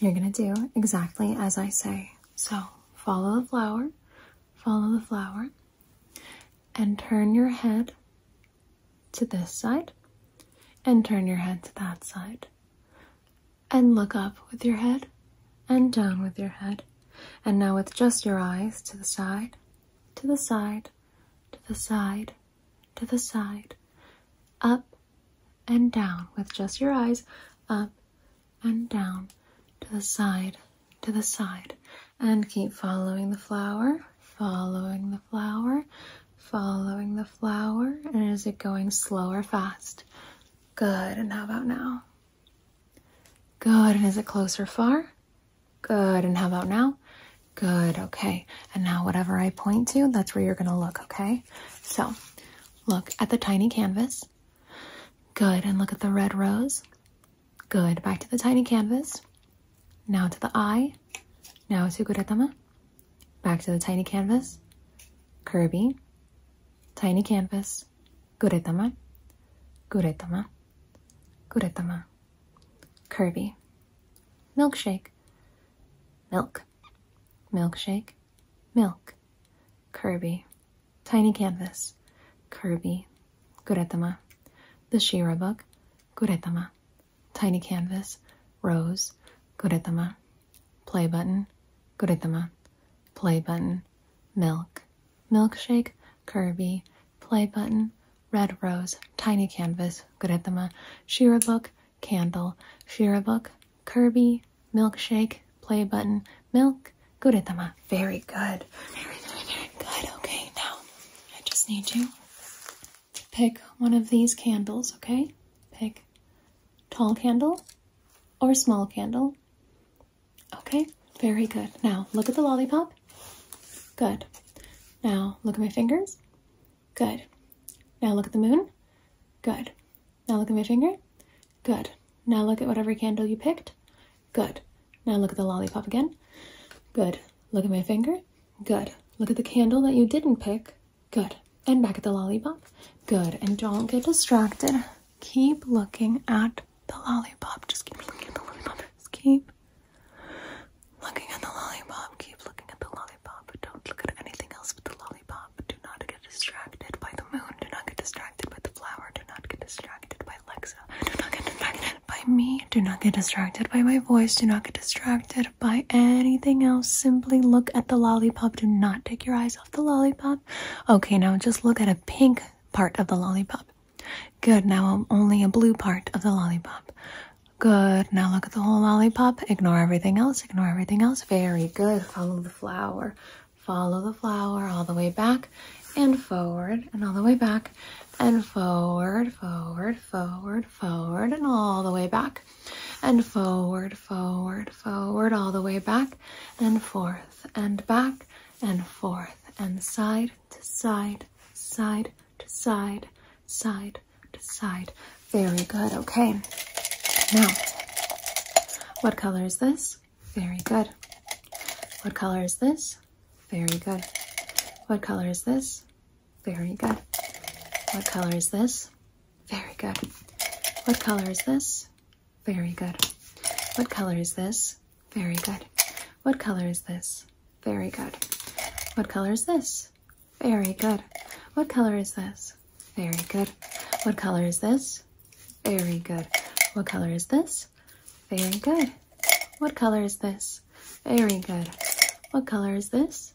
You're going to do exactly as I say. So follow the flower, follow the flower, and turn your head to this side, and turn your head to that side, and look up with your head, and down with your head. And now with just your eyes to the side, to the side, to the side, to the side, up and down with just your eyes up and down to the side to the side and keep following the flower following the flower following the flower and is it going slow or fast good and how about now good and is it close or far good and how about now good okay and now whatever i point to that's where you're going to look okay so Look at the tiny canvas. Good. And look at the red rose. Good. Back to the tiny canvas. Now to the eye. Now to Guretama. Back to the tiny canvas. Kirby. Tiny canvas. Guretama. Guretama. Guretama. Kirby. Milkshake. Milk. Milkshake. Milk. Kirby. Tiny Canvas. Kirby. Guretama. The Shira Book. Guretama. Tiny Canvas. Rose. Guretama. Play Button. Guretama. Play Button. Milk. Milkshake. Kirby. Play Button. Red Rose. Tiny Canvas. Guretama. Shira Book candle, shirabook, Kirby, milkshake, play button, milk, Good guretama. Very good. Very, very, very good. Okay, now I just need you to pick one of these candles, okay? Pick tall candle or small candle. Okay, very good. Now look at the lollipop. Good. Now look at my fingers. Good. Now look at the moon. Good. Now look at my finger. Good. Now look at whatever candle you picked. Good. Now look at the lollipop again. Good. Look at my finger. Good. Look at the candle that you didn't pick. Good. And back at the lollipop. Good. And don't get distracted. Keep looking at the lollipop. Just keep looking at the lollipop. Just keep looking at the lollipop. Keep looking at the lollipop. Don't look at anything else but the lollipop lollipop. Do not get distracted by the moon. Do not get distracted by the flower. Do not get distracted by Alexa. Do not get distracted by me. Do not get distracted by my voice. Do not get distracted by anything else. Simply look at the lollipop. Do not take your eyes off the lollipop. Okay, now just look at a pink part of the lollipop. Good, now only a blue part of the lollipop. Good. Now look at the whole lollipop. Ignore everything else. Ignore everything else. Very good. Follow the flower. Follow the flower all the way back and forward and all the way back and forward, forward, forward, forward, and all the way back and forward, forward, forward, all the way back and forth and back and forth and side to side, side to side, side Decide. Very good. Okay. Now, what color is this? Very good. What color is this? Very good. What color is this? Very good. What color is this? Very good. What color is this? Very good. What color is this? Very good. What color is this? Very good. What color is this? Very good. What color is this? Very good. What color is this? Very good. What color is this? Very good. What color is this? Very good. What color is this?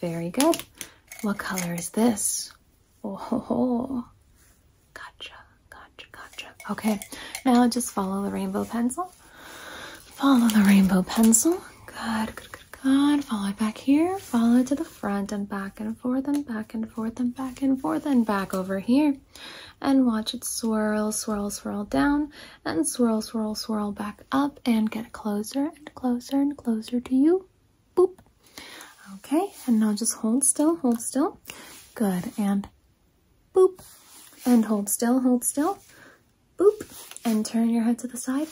Very good. What color is this? Oh, ho, ho. gotcha, gotcha, gotcha. Okay, now just follow the rainbow pencil. Follow the rainbow pencil. Good, good, good. God, Follow it back here. Follow it to the front and back and forth and back and forth and back and forth and back over here. And watch it swirl, swirl, swirl down and swirl, swirl, swirl back up and get closer and closer and closer to you. Boop. Okay. And now just hold still, hold still. Good. And boop. And hold still, hold still boop, and turn your head to the side,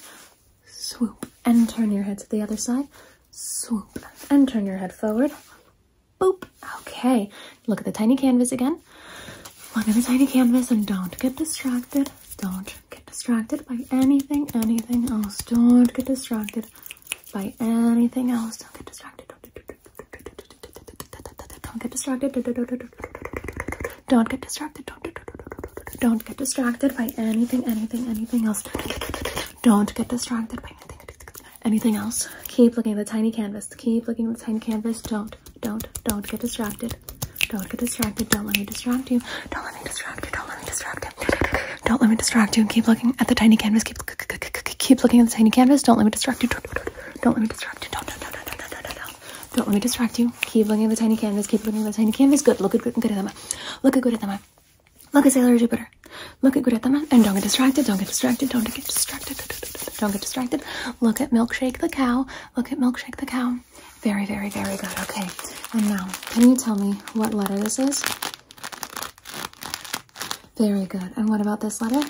swoop, and turn your head to the other side, swoop, and turn your head forward, boop. Okay, look at the tiny canvas again. Look at the tiny canvas and don't get distracted. Don't get distracted by anything, anything else. Don't get distracted by anything else. Don't get distracted. Don't get distracted. Don't get distracted. Don't, don't, don't, don't get distracted by anything, anything, anything else. Don't get distracted by anything, anything else. Keep looking at the tiny canvas. Keep looking at the tiny canvas. Don't, don't, don't get distracted. Don't get distracted. Don't let me distract you. Don't let me distract you. Don't let me distract you. Don't let me distract you. Keep looking at the tiny canvas. Keep keep looking at the tiny canvas. Don't let me distract you. Don't let me distract you. Don't don't don't don't don't don't don't don't let me distract you. Keep looking at the tiny canvas. Keep looking at the tiny canvas. Good. Look at Guritama. Look at Guritama. Look at Sailor Jupiter. Look at Guritama. And don't get distracted. Don't get distracted. Don't get distracted. Don't get distracted. Look at Milkshake the cow. Look at Milkshake the cow. Very, very, very good. Okay. And now, can you tell me what letter this is? Very good. And what about this letter?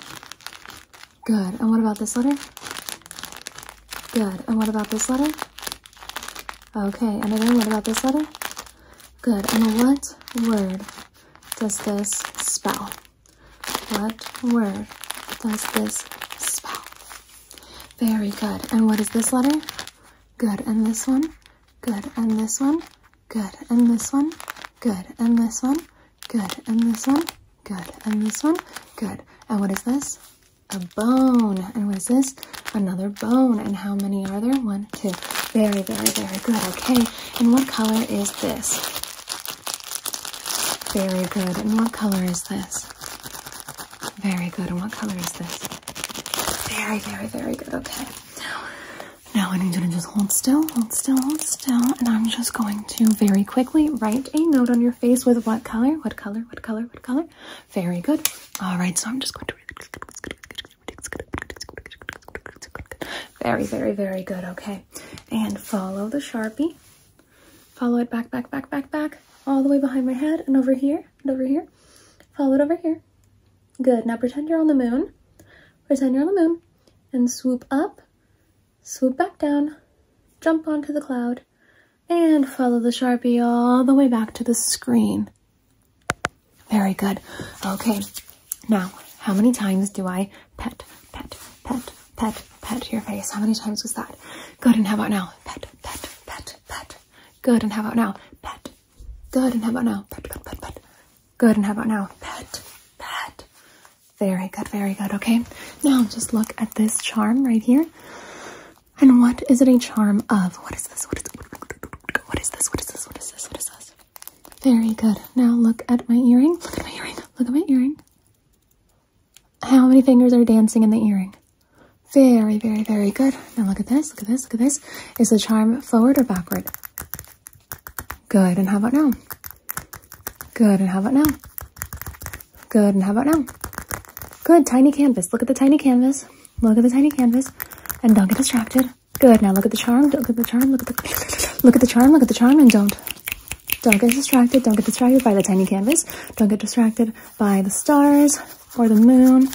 Good. And what about this letter? Good. And what about this letter? Okay. And again, what about this letter? Good. And what word does this spell? What word does this spell? Very good. And what is this letter? Good. And this one? Good. And this one? Good. And this one? Good. And this one? Good. And this one? Good. And this one? Good. And what is this? a bone. And was this another bone? And how many are there? One, two. Very, very, very good. Okay. And what color is this? Very good. And what color is this? Very good. And what color is this? Very, very, very good. Okay. Now I need you to just hold still, hold still, hold still, and I'm just going to very quickly write a note on your face with what color? What color? What color? What color? Very good. All right, so I'm just going to. Very, very, very good. Okay, and follow the sharpie. Follow it back, back, back, back, back, all the way behind my head, and over here, and over here. Follow it over here. Good. Now pretend you're on the moon. Pretend you're on the moon, and swoop up, swoop back down, jump onto the cloud, and follow the Sharpie all the way back to the screen. Very good. Okay, now how many times do I pet, pet, pet, pet, pet your face? How many times was that? Good, and how about now? Pet, pet, pet, pet. Good, and how about now? Pet. Good, and how about now? Pet, pet, pet, pet. Good, and how about now? Pet, pet. Very good, very good. Okay, now just look at this charm right here. And what is it a charm of? What is this? What is, this? What is this? What is this? What is this? Very good. Now look at my earring. Look at my earring. Look at my earring. How many fingers are dancing in the earring? Very, very, very good. Now look at this. Look at this. Look at this. Is the charm forward or backward? Good. And how about now? Good, and how about now? Good, and how about now? Good, tiny canvas. Look at the tiny canvas. Look at the tiny canvas. And don't get distracted. Good, now look at the charm. Don't look at the charm. Look at the, look at the charm. Look at the charm, and don't. Don't get distracted. Don't get distracted by the tiny canvas. Don't get distracted by the stars or the moon.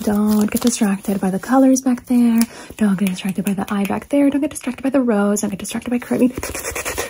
Don't get distracted by the colors back there. Don't get distracted by the eye back there. Don't get distracted by the rose. Don't get distracted by Kirby.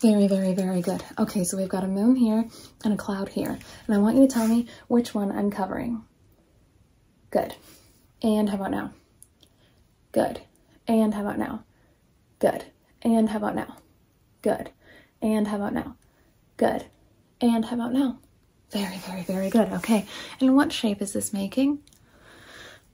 Very, very, very good. Okay, so we've got a moon here and a cloud here. And I want you to tell me which one I'm covering. Good. And how about now? Good. And how about now? Good. And how about now? Good. And how about now? Good. And how about now? Very, very, very good. Okay. And what shape is this making?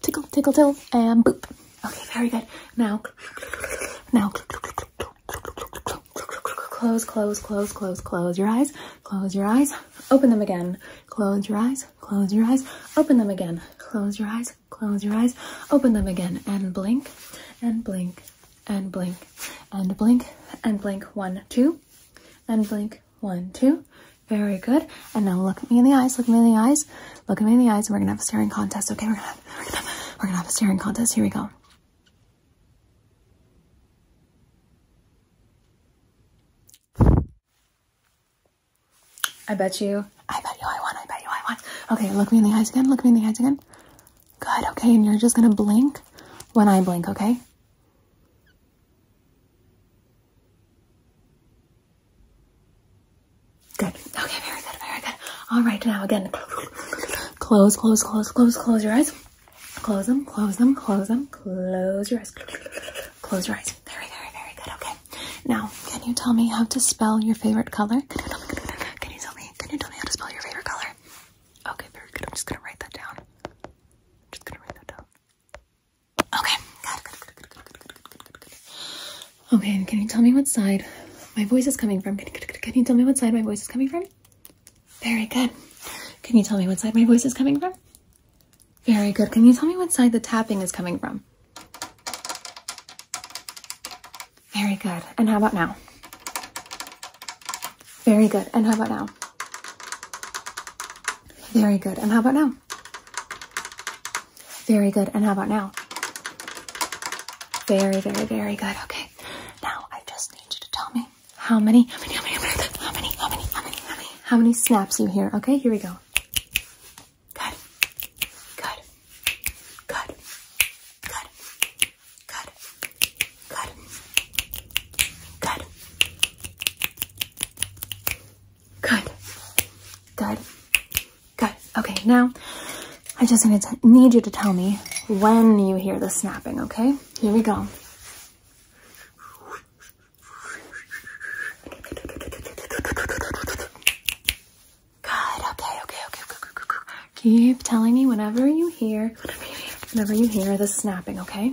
tickle, tickle, tickle, and boop. Okay, very good. Now, now, close, close, close, close, close your eyes, close your eyes, open them again, close your eyes, close your eyes, open them again, close your eyes, close your eyes, open them again, and blink, and blink, and blink, and blink, and blink, one, two, and blink, one, two, very good. And now look at me in the eyes. Look at me in the eyes. Look at me in the eyes. And we're gonna have a staring contest. Okay, we're gonna have, we're gonna have, we're gonna have a staring contest. Here we go. I bet you. I bet you I won. I bet you I won. Okay, look me in the eyes again. Look me in the eyes again. Good. Okay, and you're just gonna blink when I blink. Okay. Good. Okay, very good, very good. All right, now again, close, close, close, close, close your eyes. Close them, close them, close them, close your eyes. Close your eyes. Very, very, very good. Okay. Now, can you tell me how to spell your favorite color? Can you tell me, can you tell me, can you tell me how to spell your favorite color? Okay, very good. I'm just gonna write that down. I'm just gonna write that down. Okay, Okay, can you tell me what side my voice is coming from? can you tell me what side my voice is coming from? Very good. Can you tell me what side my voice is coming from? Very good. Can you tell me what side the tapping is coming from? Very good. And how about now? Very good. And how about now? Very good. And how about now? Very good. And how about now? Very, very, very good. Okay. Now I just need you to tell me how many, how many, how many, how many, how many, how many, how many, how many snaps you hear. Okay, here we go. Good. Good. Good. Good. Good. Good. Good. Good. Good. Good. Okay, now I just need you to tell me when you hear the snapping, okay? Here we go. Good. Okay, okay, okay, Keep telling me whenever you hear, whenever you hear the snapping, okay?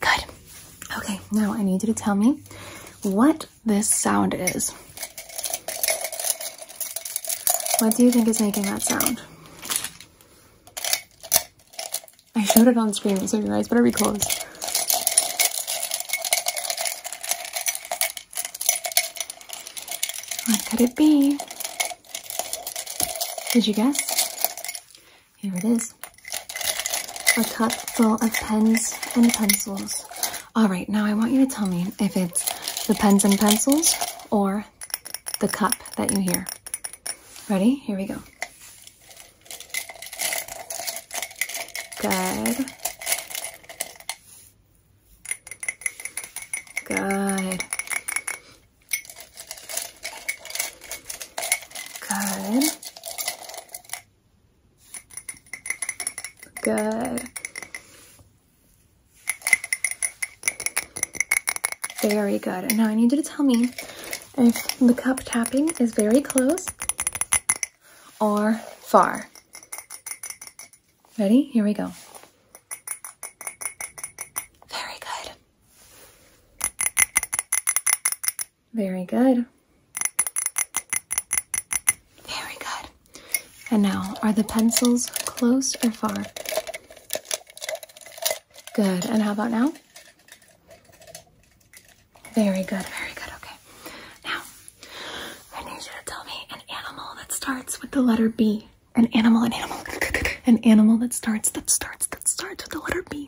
Good. Okay, now I need you to tell me what this sound is. What do you think is making that sound? I showed it on screen, so your eyes better be closed. What could it be? Did you guess? Here it is. A cup full of pens and pencils. All right, now I want you to tell me if it's the pens and pencils or the cup that you hear. Ready? Here we go. Good. Good. Good. Good. Very good. And now I need you to tell me if the cup tapping is very close or far. Ready? Here we go. Very good. Very good. Very good. And now, are the pencils close or far? Good. And how about now? Very good. Very good. Okay. Now, I need you to tell me an animal that starts with the letter B. An animal, an animal, an animal that starts, that starts, that starts with the letter B.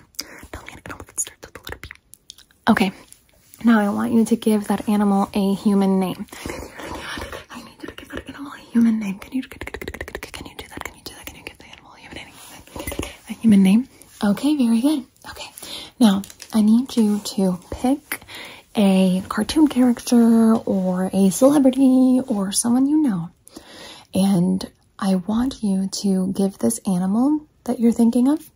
Okay, now I want you to give that animal a human name. I need you to give that animal a human name. can you do that? Can you do that? Can you give the animal a human name? A human name? Okay, very good. Okay, now I need you to pick a cartoon character or a celebrity or someone you know. And I want you to give this animal that you're thinking of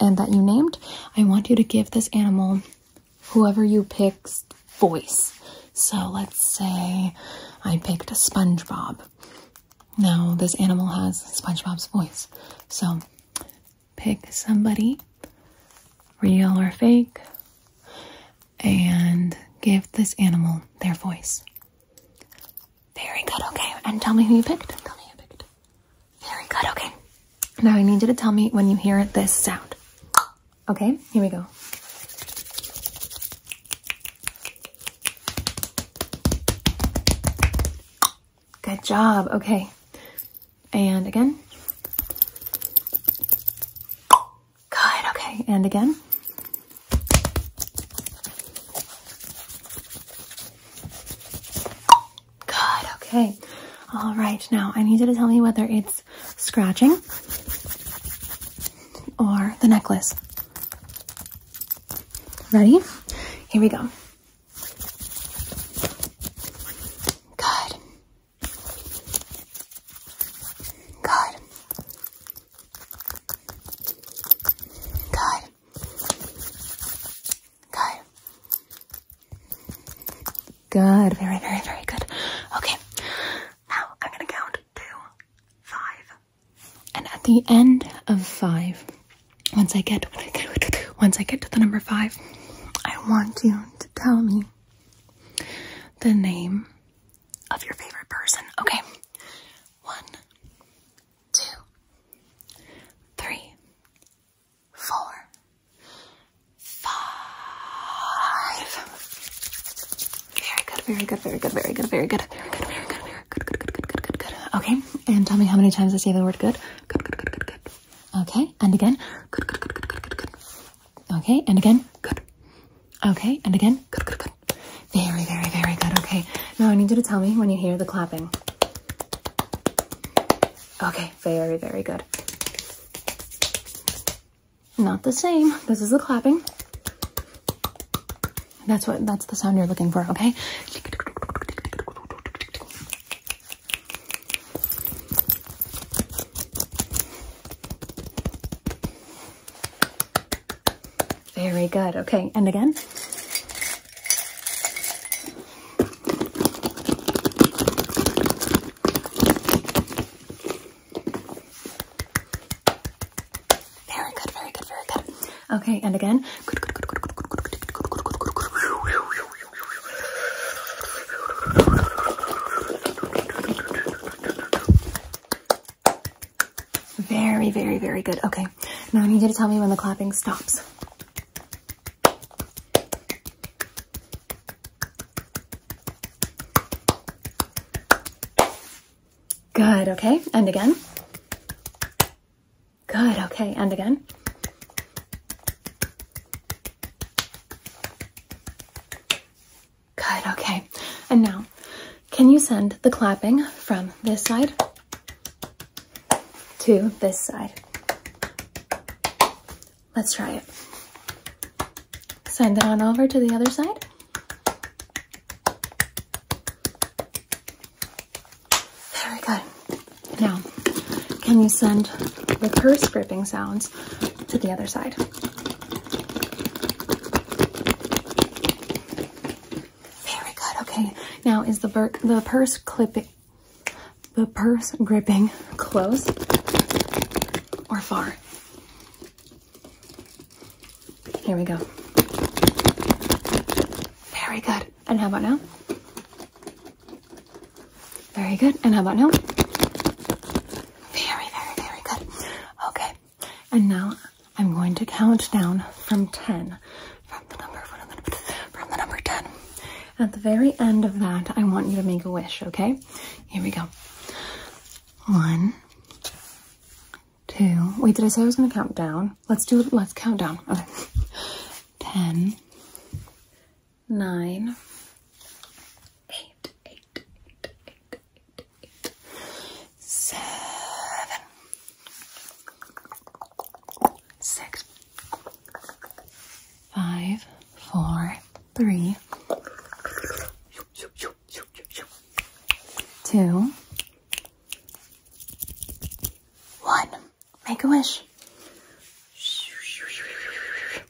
and that you named, I want you to give this animal whoever you pick's voice. So let's say I picked SpongeBob. Now this animal has SpongeBob's voice. So pick somebody, real or fake, and give this animal their voice. Very good, okay. And tell me who you picked. Tell me who you picked. Very good, okay. Now I need you to tell me when you hear this sound. Okay, here we go. Good job, okay. And again. Good, okay, and again. Good, okay. All right, now I need you to tell me whether it's scratching or the necklace. Ready? Here we go. Good. Good. Good. Good. Good. Very, very, very good. Okay. Now I'm going to count to five. And at the end of five, once I get once I get to the number five, I want you to tell me the name of your favorite person. Okay. One, two, three, four, five. Very good, very good, very good, very good, very good, very good, very good, very good, good, good, good, good, good, good. Okay. And tell me how many times I say the word good. Good, good, good, good, good. Okay. And again. Good, good, good, good, good, good, good. Okay. And again. Good. Okay. And again. Good, good, good. Very, very, very good. Okay. Now I need you to tell me when you hear the clapping. Okay. Very, very good. Not the same. This is the clapping. That's what that's the sound you're looking for, okay? Very good. Okay, and again. Very good, very good, very good. Okay, and again. Very, very, very good. Okay. Now I need you to tell me when the clapping stops. Good, okay. And again. Good, okay. And again. Good, okay. And now, can you send the clapping from this side to this side? Let's try it. Send it on over to the other side. Very good. Now, can you send the purse gripping sounds to the other side? Very good. Okay. Now is the the purse clipping the purse gripping close or far? Here we go. Very good. And how about now? Very good. And how about now? Very, very, very good. Okay and now I'm going to count down from 10, from the number, from the number 10. At the very end of that, I want you to make a wish, okay? Here we go. One, two. Wait, did I say I was going to count down? Let's do it. Let's count down. Okay. Ten, nine, eight, eight, eight, eight, eight, eight, seven, six, five, four, three, two, one. Make a wish.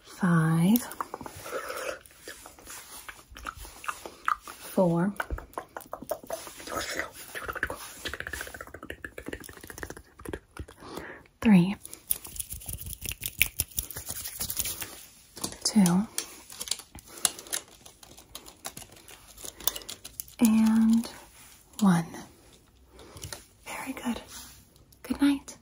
five, four, three, two, and one. Very good. Good night.